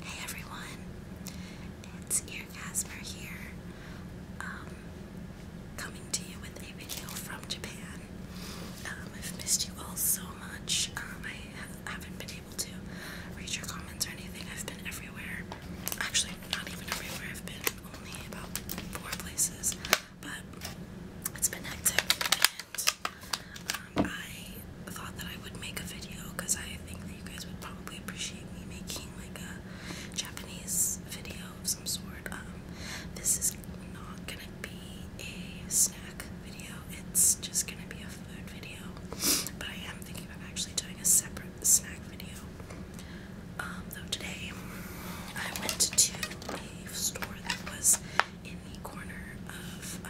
Hey everyone, it's Ear Casper here, um, coming to you with a video from Japan. Um, I've missed you all so much. Um, I haven't been able to read your comments or anything. I've been everywhere. Actually, not even everywhere. I've been only about four places, but it's been hectic. And um, I thought that I would make a video because I think that you guys would probably appreciate me making like a Japanese video of some sort. Um, this is not gonna be a snack video, it's just gonna be a food video. But I am thinking of actually doing a separate snack video. Um, though today I went to a store that was in the corner of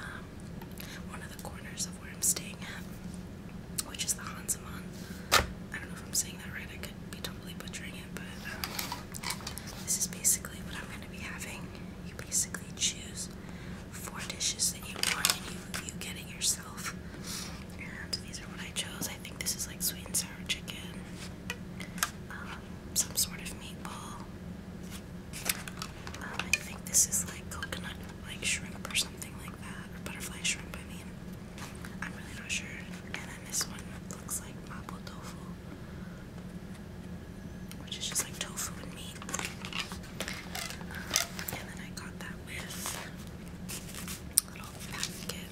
one of the corners of where I'm staying at, which is the Hansamon. I don't know if I'm saying that right. I could be totally butchering it, but um, this is basically what I'm going to be having. You basically choose four dishes that you want, and you you get it yourself. And these are what I chose. I think this is like sweet and sour chicken, um, some sort of meatball, um, I think this is like coconut like shrimp or something like that, or butterfly shrimp, I mean. I'm really not sure. And then this one looks like mapo tofu, which is just like tofu and meat. Um, and then I got that with a little packet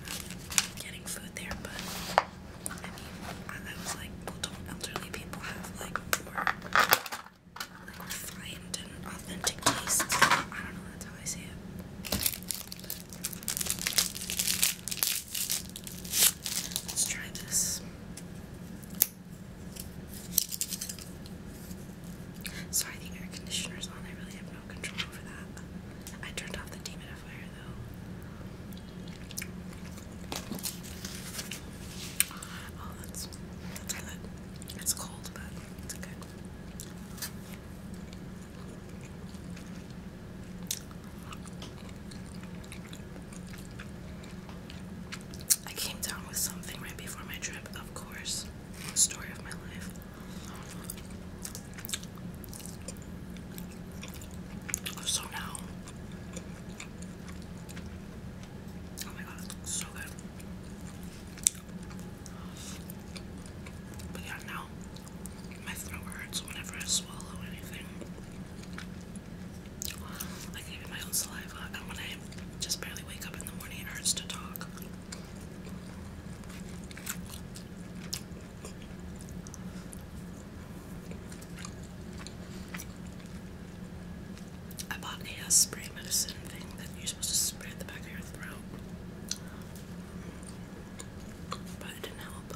getting food there, but I was like, well, people have like I don't know, that's how I Let's try this. Sorry, the conditioner's on. I really have no control over that. I turned off the dehumidifier though. Oh, that's that's good. It's cold, but it's good. I came down with something right before my trip, of course. Story of my life. So now Oh my god, it looks so good. But yeah, now my throat hurts whenever I swallow anything. Like even my own saliva, and when I just barely wake up in the morning, it hurts to talk. I bought a spray medicine thing that you're supposed to spray in the back of your throat. But it didn't help.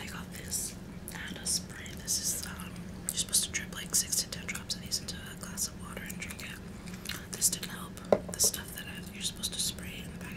I got this and a spray. This is, um, you're supposed to drip like 6 to 10 drops of these into a glass of water and drink it. This didn't help. The stuff that I, you're supposed to spray in the back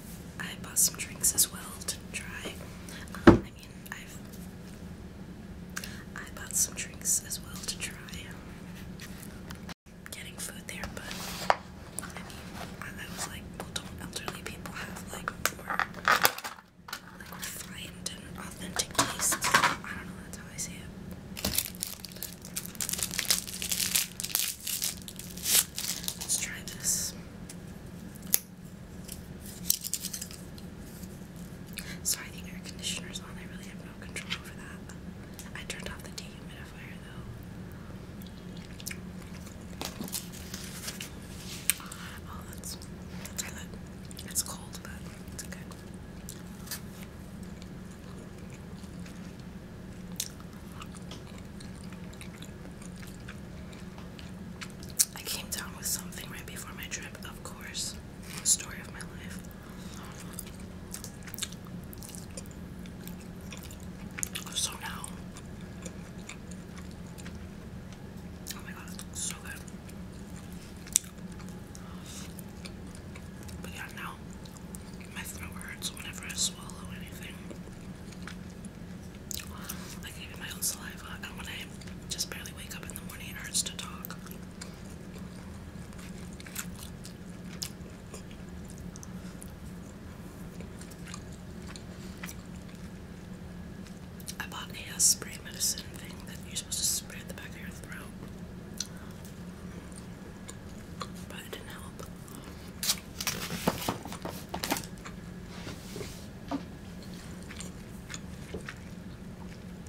I bought some drinks as well to try. Um, I mean, I've I bought some drinks as well to try. Um, getting food there, but I mean, I, was like, well, don't elderly people have like more like refined and authentic tastes? I don't know. That's how I see it. Let's try this. Sorry, the air conditioner's on. I really have no control over that. I turned off the dehumidifier though. Ah, oh, that's that's good. It's cold, but it's good. I came down with something right before my trip, of course. Story of my life. Oh, so now, oh my god, so good. But yeah, now my throat hurts whenever I swallow anything. I gave my own saliva, and when I just barely wake up in the morning, it hurts to talk. I bought a uh, spray medicine thing that you're supposed to spray at the back of your throat, but it didn't help.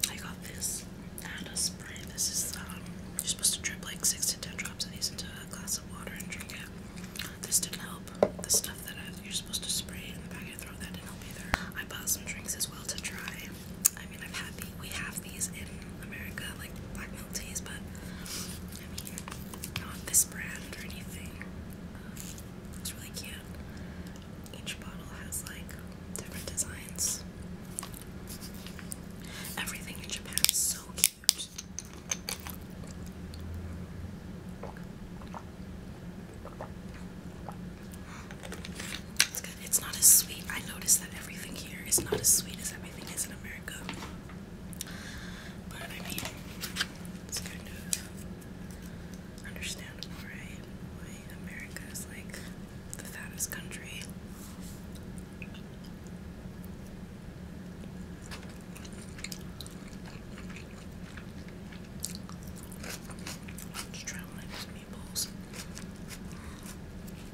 I got this Nana spray. This is um, you're supposed to drip like six to ten drops of these into a glass of water and drink it. This didn't help. The stuff that you're supposed to spray in the packet, throw that didn't help either. I bought some drinks as well to try. I mean, I've had we have these in America, like black milk teas, but I mean, not this brand or anything. Um, it's really cute. Each bottle has like different designs. Everything in Japan is so cute. It's good. It's not as sweet. I noticed that everything here is not as sweet as everything is in America. But I mean, it's kind of understandable, right? Why America is like the fattest country. Just try to of these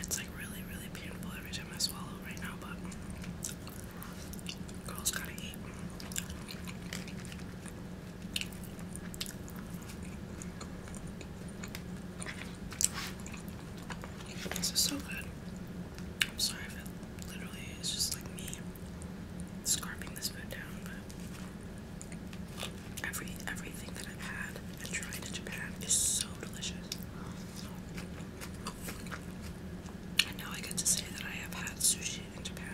It's like really, really painful every time I swallow right now, but girls gotta eat. This is so good. I'm sorry if it literally is just like me scarping this food down, Every everything that I've had and tried in Japan is so delicious. And now I get to say that I have had sushi in Japan.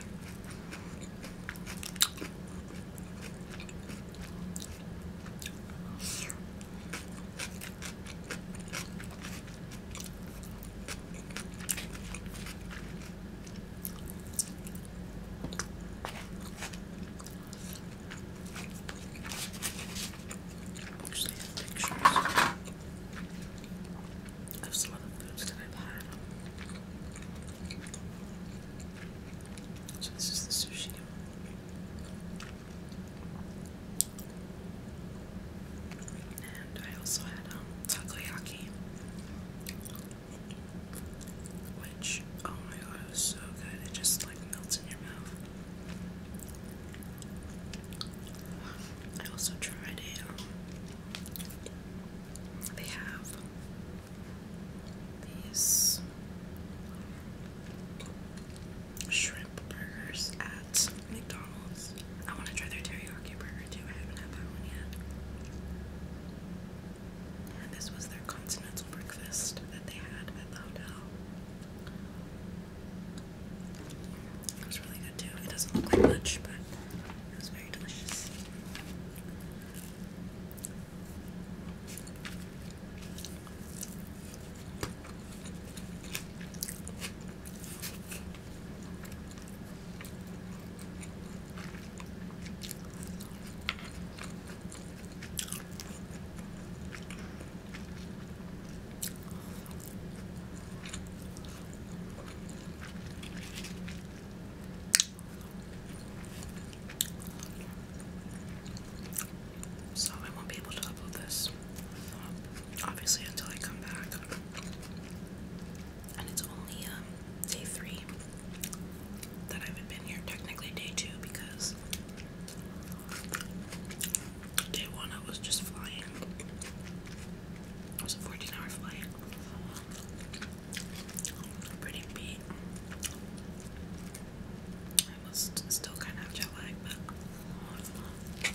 I have some of the foods that i So this is the sushi and I also had um, takoyaki, which oh my god, it was so good. It just like melts in your mouth. I also tried a. Um, they have these shrimp burgers at McDonald's. I want to try their teriyaki burger too. I haven't had that one yet. And this was their continental breakfast that they had at the hotel. It was really good too. It doesn't look like much, but it was very delicious. So I won't be able to upload this, obviously, until I come back and it's only um, day three that I have been here. Technically, day two because day one I was just flying. It was a 14-hour flight. Pretty beat. I was still kind of jet lag, but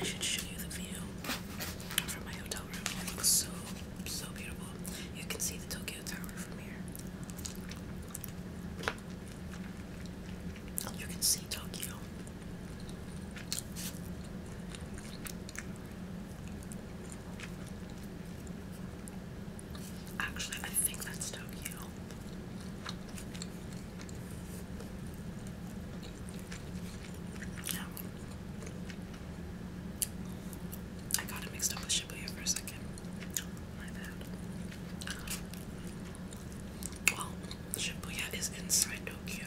I should show you the view from my hotel room. It looks so, so beautiful. You can see the Tokyo Tower from here. You can see Tokyo. Actually, I think that's Tokyo. Yeah. I got it mixed up with Shibuya for a second. My bad. Well, Shibuya is inside Tokyo.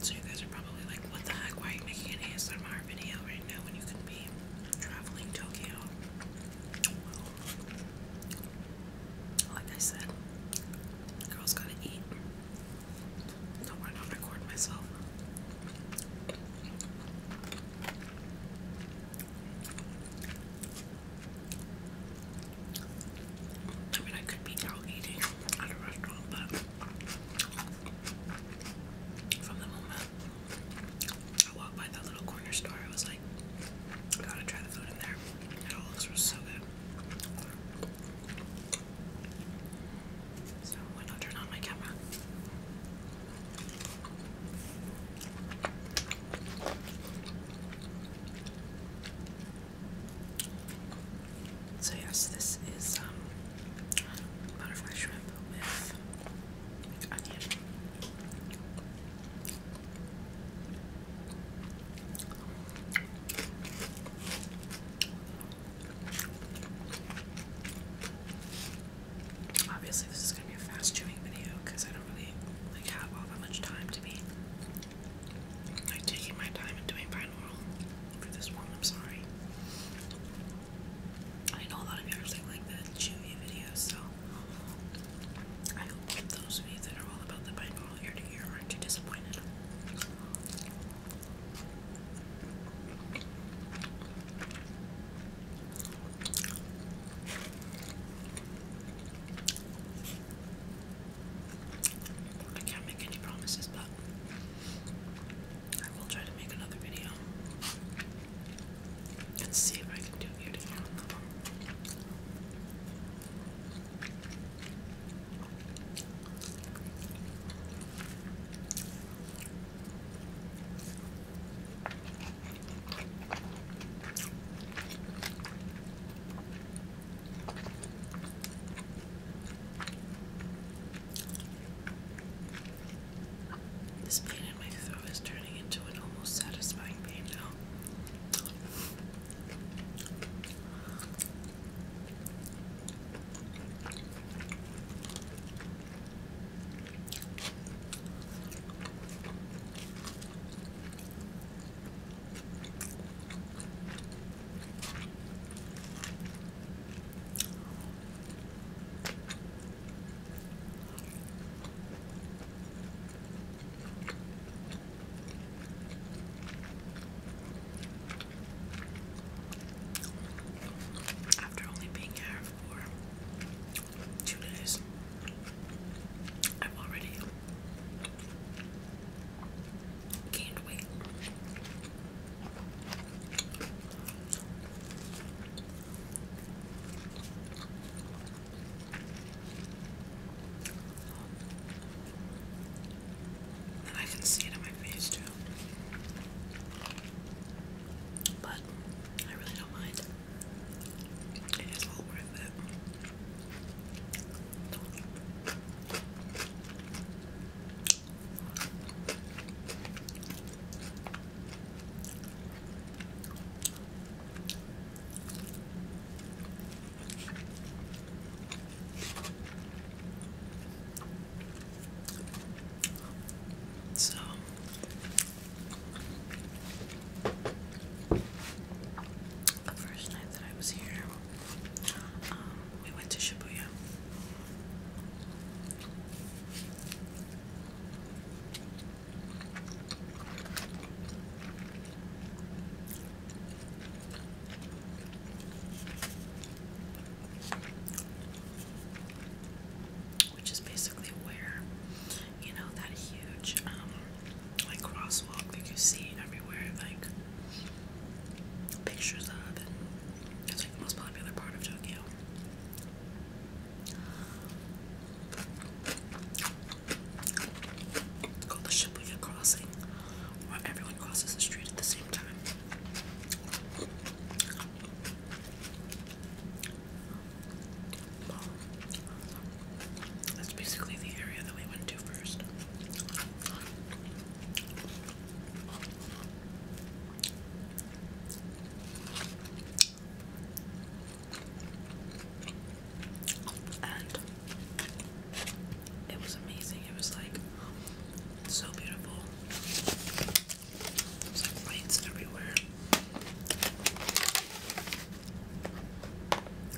So you guys are probably like, what the heck? Why are you making an ASMR video right now when you could be traveling Tokyo? like I said, girls gotta eat. No, I don't record myself. I mean, I could be out eating at a restaurant, but from the moment I walked by that little corner store, I was like, I gotta try the food in there. It all looks so good. So, why not turn on my camera? So yes, this is um, butterfly shrimp with onion. Obviously, this is gonna be a fast chewing video because I don't really like have all that much time to be like taking my time and doing binaural for this one. I'm sorry. I know a lot of you are like the chewy videos, so I hope those of you that are all about the binaural ear to ear aren't too disappointed. I can't make any promises, but I will try to make another video and see if I can do you to this pain in my throat is turning into an almost satisfying pain now. After only being here two days. I've already gained weight. And I can see it in my face too. But but I really don't mind. It is all worth it. So the first night that I was here, um, we went to Shibuya which is basically where you know that huge um, like crosswalk that you see everywhere like pictures of and it's like the most popular part of Tokyo. It's called the Shibuya Crossing, where everyone crosses the street at the same time that's basically the area that we went to first. And it was amazing. It was like so beautiful. There's like lights everywhere.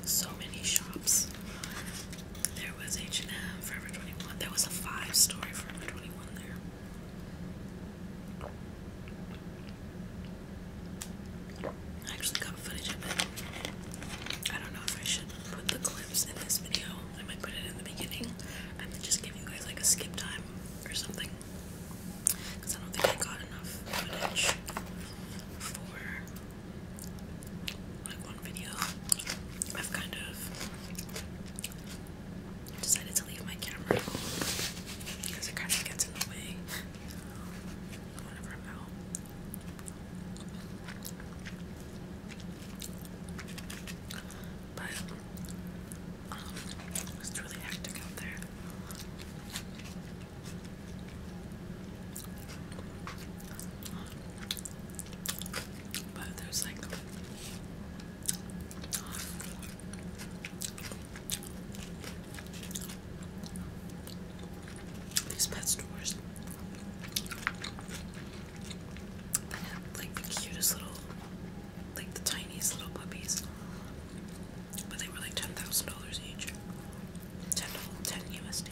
So many shops. There was H&M, Forever 21. There was a five-story Forever 21 there. I actually got footage of it. I don't know if I should put the clips in this video. I might put it in the beginning and just give you guys like a skip time or something. Because I don't think I got enough footage for like one video. I've kind of decided to leave my camera because it kind of gets in the way whenever I'm out. But um, really hectic out there. But there's like these pet stores that have like the cutest little like the tiniest little puppies. But they were like ten thousand dollars each. Ten ten USD.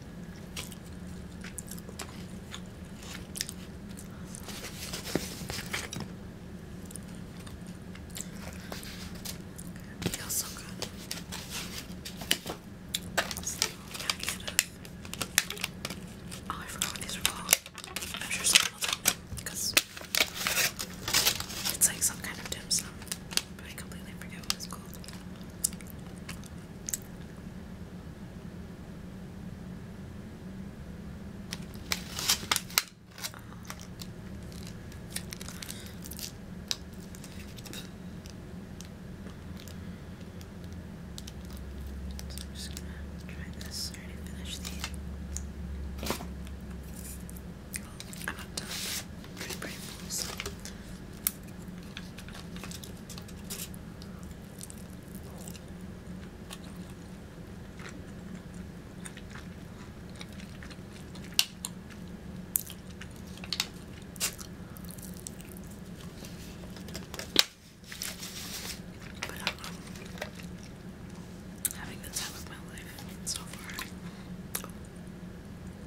feels so good. Oh, I forgot these are called. I'm sure someone will tell me it's like some kind of dim sum, but I completely forget what it's called. So I'm just gonna try this. I already finished the. I'm not done. Pretty pretty full, so but um, having the time of my life so far. Oh.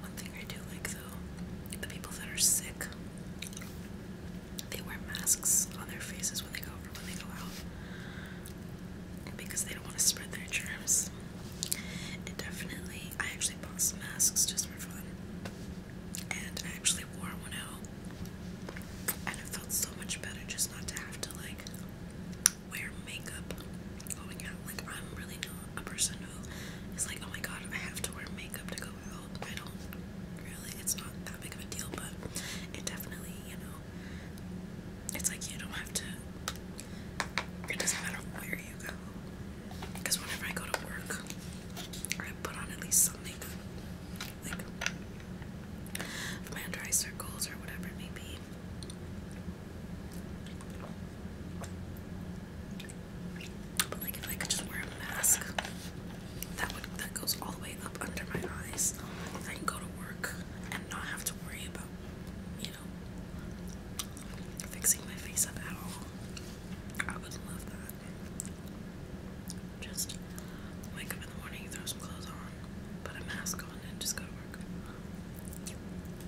One thing I do like though, the people that are sick, they wear masks on their faces when they go over, when they go out, because they don't want to spread their germs. And definitely, I actually bought some masks just for fun, and I actually wore one out, and it felt so much better just not to have to like wear makeup going out. Like I'm really not a person who is like, oh my god, I have to wear makeup to go out. I don't really, it's not that big of a deal, but it definitely, you know, it's like you don't have to, it doesn't matter where you go. Because whenever I go to work, I put on at least some makeup. Like, my under circles or whatever it may be. But like if I could just wear a mask, that that goes all the way up under my eyes. I can go to work and not have to worry about, you know, fixing my face up at all. I would love that. Just wake up in the morning, throw some clothes on, put a mask on, and just go to work.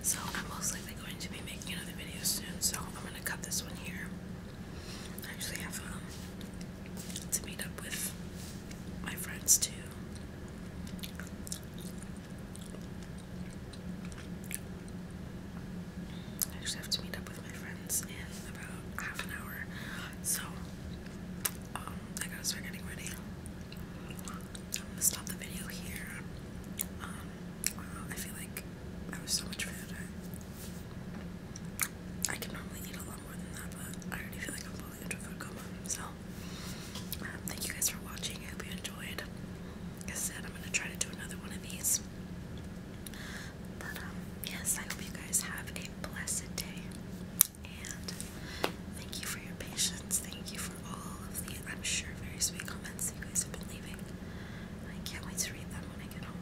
So I'm most likely going to be making another video soon, so I'm gonna cut this one here. I actually have um, to meet up with my friends too. I just have to meet up with my friends in about half an hour, so um, I gotta start getting ready. I'm gonna stop the video here. Um, I feel like that was so much food. I can normally eat a lot more than that, but I already feel like I'm falling into a coma. So, um, thank you guys for watching. I hope you enjoyed. Like I said, I'm gonna try to do another one of these. But um, yes, I hope you guys have a blessed day, and thank you for your patience. Thank you for all of the, I'm sure, very sweet comments you guys have been leaving. I can't wait to read them when I get home.